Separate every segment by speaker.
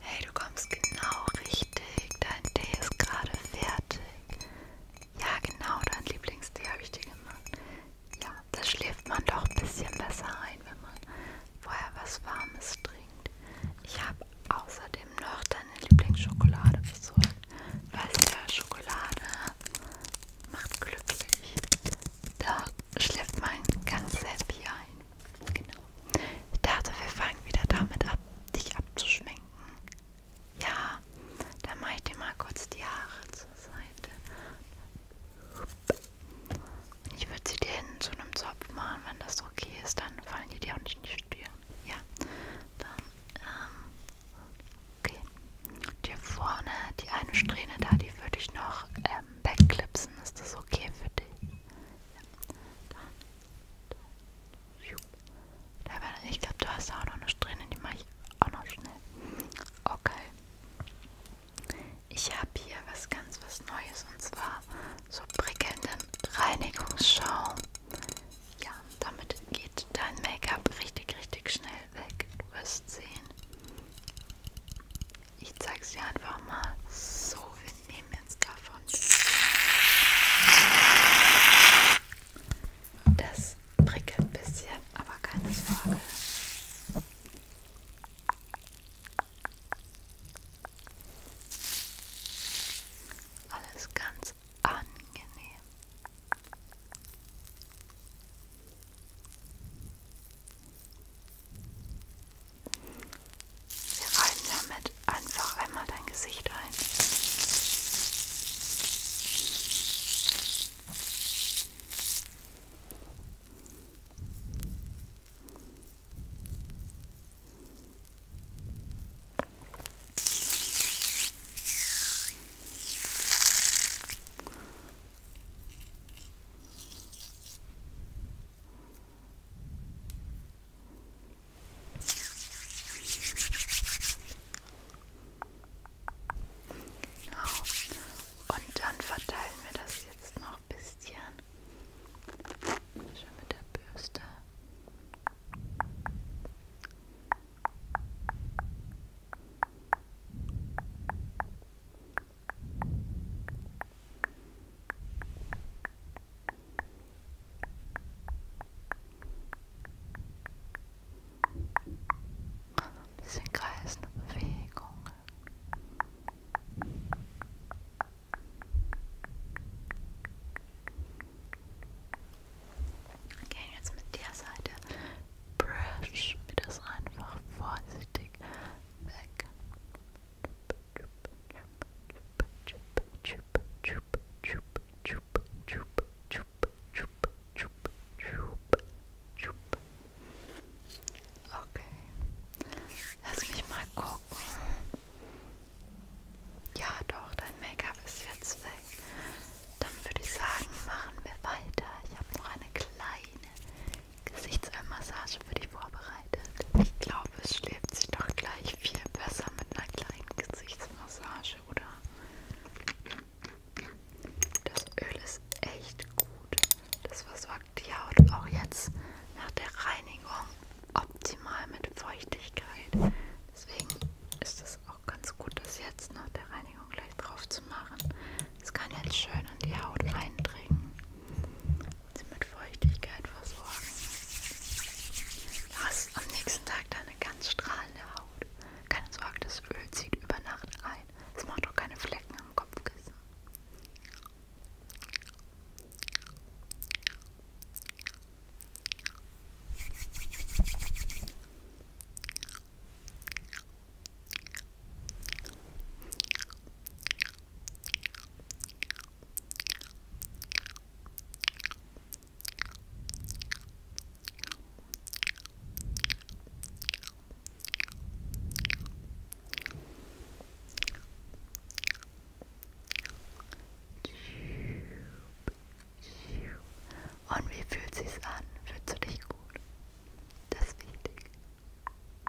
Speaker 1: Hey, du kommst genau richtig. Dein Tee ist gerade fertig. Ja, genau, dein Lieblingstee habe ich dir gemacht. Ja, da schläft man doch ein bisschen besser ein, wenn man vorher was Warmes trinkt. Ich habe außerdem noch deine Lieblingsschokolade besorgt. Weißt du, Schokolade macht glücklich. Da schläft mein ganzes Handy ein. Genau. Ich dachte, wir fangen wieder damit ab, dich abzuschminken. Ja, dann mache ich dir mal kurz die Haare zur Seite. Und ich würde sie dir hin zu einem Zopf machen, wenn das okay ist, dann fallen die dir auch nicht in die Stirn. Ja, dann, ähm, okay. Dir vorne, die eine Strähne da, die würde ich noch ähm, wegklipsen. Ist das okay für dich? dann, dann, dann. Ich glaube, du hast auch noch eine Strähne, die mache ich auch noch schnell. Okay. Ich habe hier was ganz was Neues und zwar so prickelnden Reinigungsschaum. Ja, damit geht dein Make-up richtig, richtig schnell weg. Du wirst sehen. Ich zeig's dir einfach mal. So, wir nehmen jetzt davon. Das prickelt ein bisschen, aber keine Sorge. Alles ganz angenehm. Wir reiben damit einfach einmal dein Gesicht ein. Genau. Und dann verteilen wir das jetzt noch ein bisschen. Schon mit der Bürste. Ein bisschen kreisende Bewegung. Gehen jetzt mit der Seite. Brush mir das einfach vorsichtig weg. Okay, lass mich mal gucken. Ja, doch, dein Make-up ist jetzt weg. Dann würde ich sagen, machen wir weiter. Ich habe noch eine kleine Gesichtsmassage für dich vorbereitet. Ich glaube, es schläft sich doch gleich viel besser mit einer kleinen Gesichtsmassage, oder? Das Öl ist echt gut. Das versorgt die Haut auch jetzt nach der Reinigung optimal mit Feuchtigkeit. Deswegen ist es auch ganz gut, dass jetzt nach der Reinigung Reinigung gleich drauf zu machen. Das kann jetzt schön in die Haut eindringen und sie mit Feuchtigkeit versorgen. Du hast am nächsten Tag deine ganz strahlende Haut. Keine Sorge, das Öl zieht über Nacht ein. Es macht auch keine Flecken am Kopfkissen. Und wie fühlt sich's an? Fühlst du dich gut? Das ist wichtig. Hm.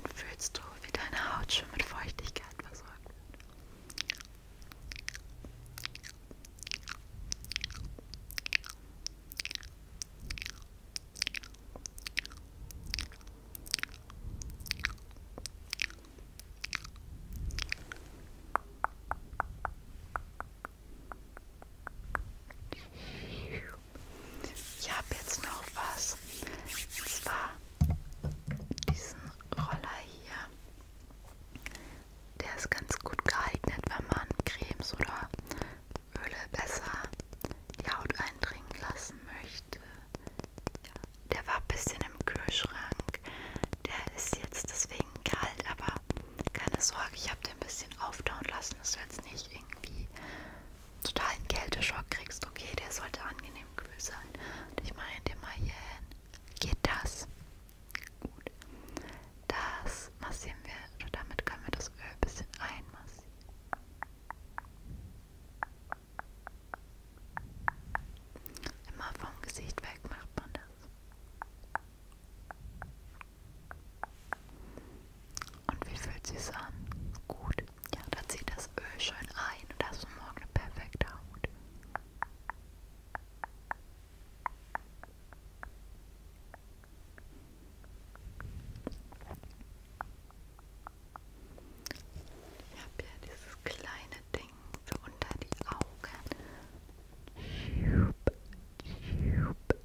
Speaker 1: Und fühlst du, wie deine Haut schon mit Feuchtigkeit versorgt wird? Ich habe jetzt noch was. Und zwar diesen Roller hier. Der ist ganz gut geeignet, wenn man Cremes oder Öle besser die Haut eindringen lassen möchte. Der war ein bisschen im Kühlschrank. Der ist jetzt deswegen kalt, aber keine Sorge, ich habe den ein bisschen auftauen lassen. Das wird jetzt nicht irgendwie totalen Kälteschock kriegst, okay, der sollte angenehm kühl sein. Und ich meine dir mal hier hin. Geht das? Gut. Das massieren wir, oder also damit können wir das Öl ein bisschen einmassieren. Immer vom Gesicht weg macht man das. Und wie fühlt sie es an? Gut. Ja, da zieht das Öl schön ein und hast du morgen eine perfekte Haut. Ich habe ja dieses kleine Ding für unter die Augen. Schup, schup,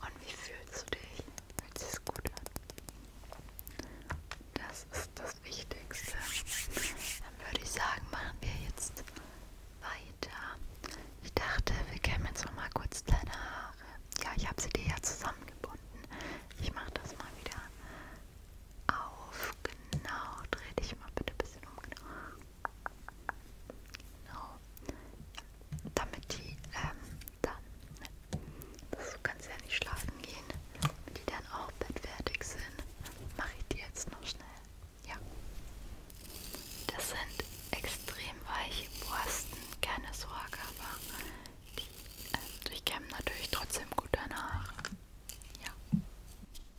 Speaker 1: Und wie fühlst du dich? Fühlt sich gut an? Das ist das Wichtigste. Dann würde ich sagen, machen wir jetzt weiter. Ich dachte, wir kämen jetzt noch mal kurz deine Haare. Ja, ich habe sie dir ja zusammengebunden. Ich mache das mal wieder auf. Genau, dreh dich mal bitte ein bisschen um. Genau. genau. Damit die ähm, dann, du kannst ja nicht schlafen gehen, damit die dann auch bettfertig sind, mache ich die jetzt noch schnell. Ja. Das sind extrem weiche Borsten, keine Sorge, aber die äh, durchkämmen natürlich trotzdem gut deine Haare. Ja.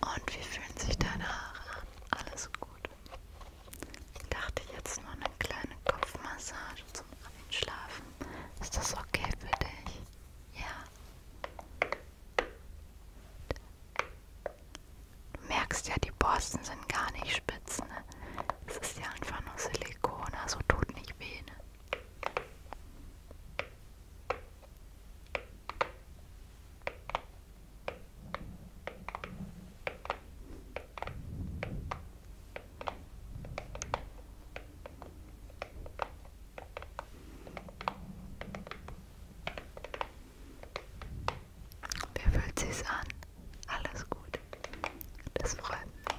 Speaker 1: Und wie fühlen sich deine Haare an? Alles gut. Ich dachte jetzt nur eine kleine Kopfmassage zum Einschlafen. Ist das okay für dich? Ja. Du merkst ja, die Borsten sind gar nicht spitz. Ne? Es ist ja einfach nur Silikon, also tut nicht weh. Ne? Wie fühlt sich's an? Alles gut. Das freut mich.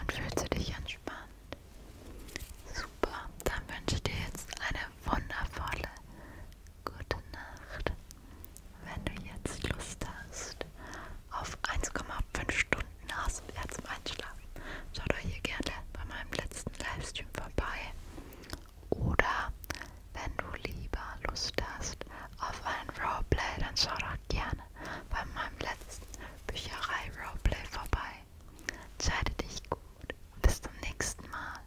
Speaker 1: Und fühlst du dich entspannt? Super, dann wünsche ich dir jetzt eine wundervolle gute Nacht. Wenn du jetzt Lust hast auf 1,5 Stunden Nasenbär zum Einschlafen, schau doch hier gerne bei meinem letzten Livestream vorbei. Oder wenn du lieber Lust hast auf ein Roleplay, dann schau doch gerne bei meinem letzten Bücherei-Roleplay vorbei. Entscheide dich gut. Bis zum nächsten Mal.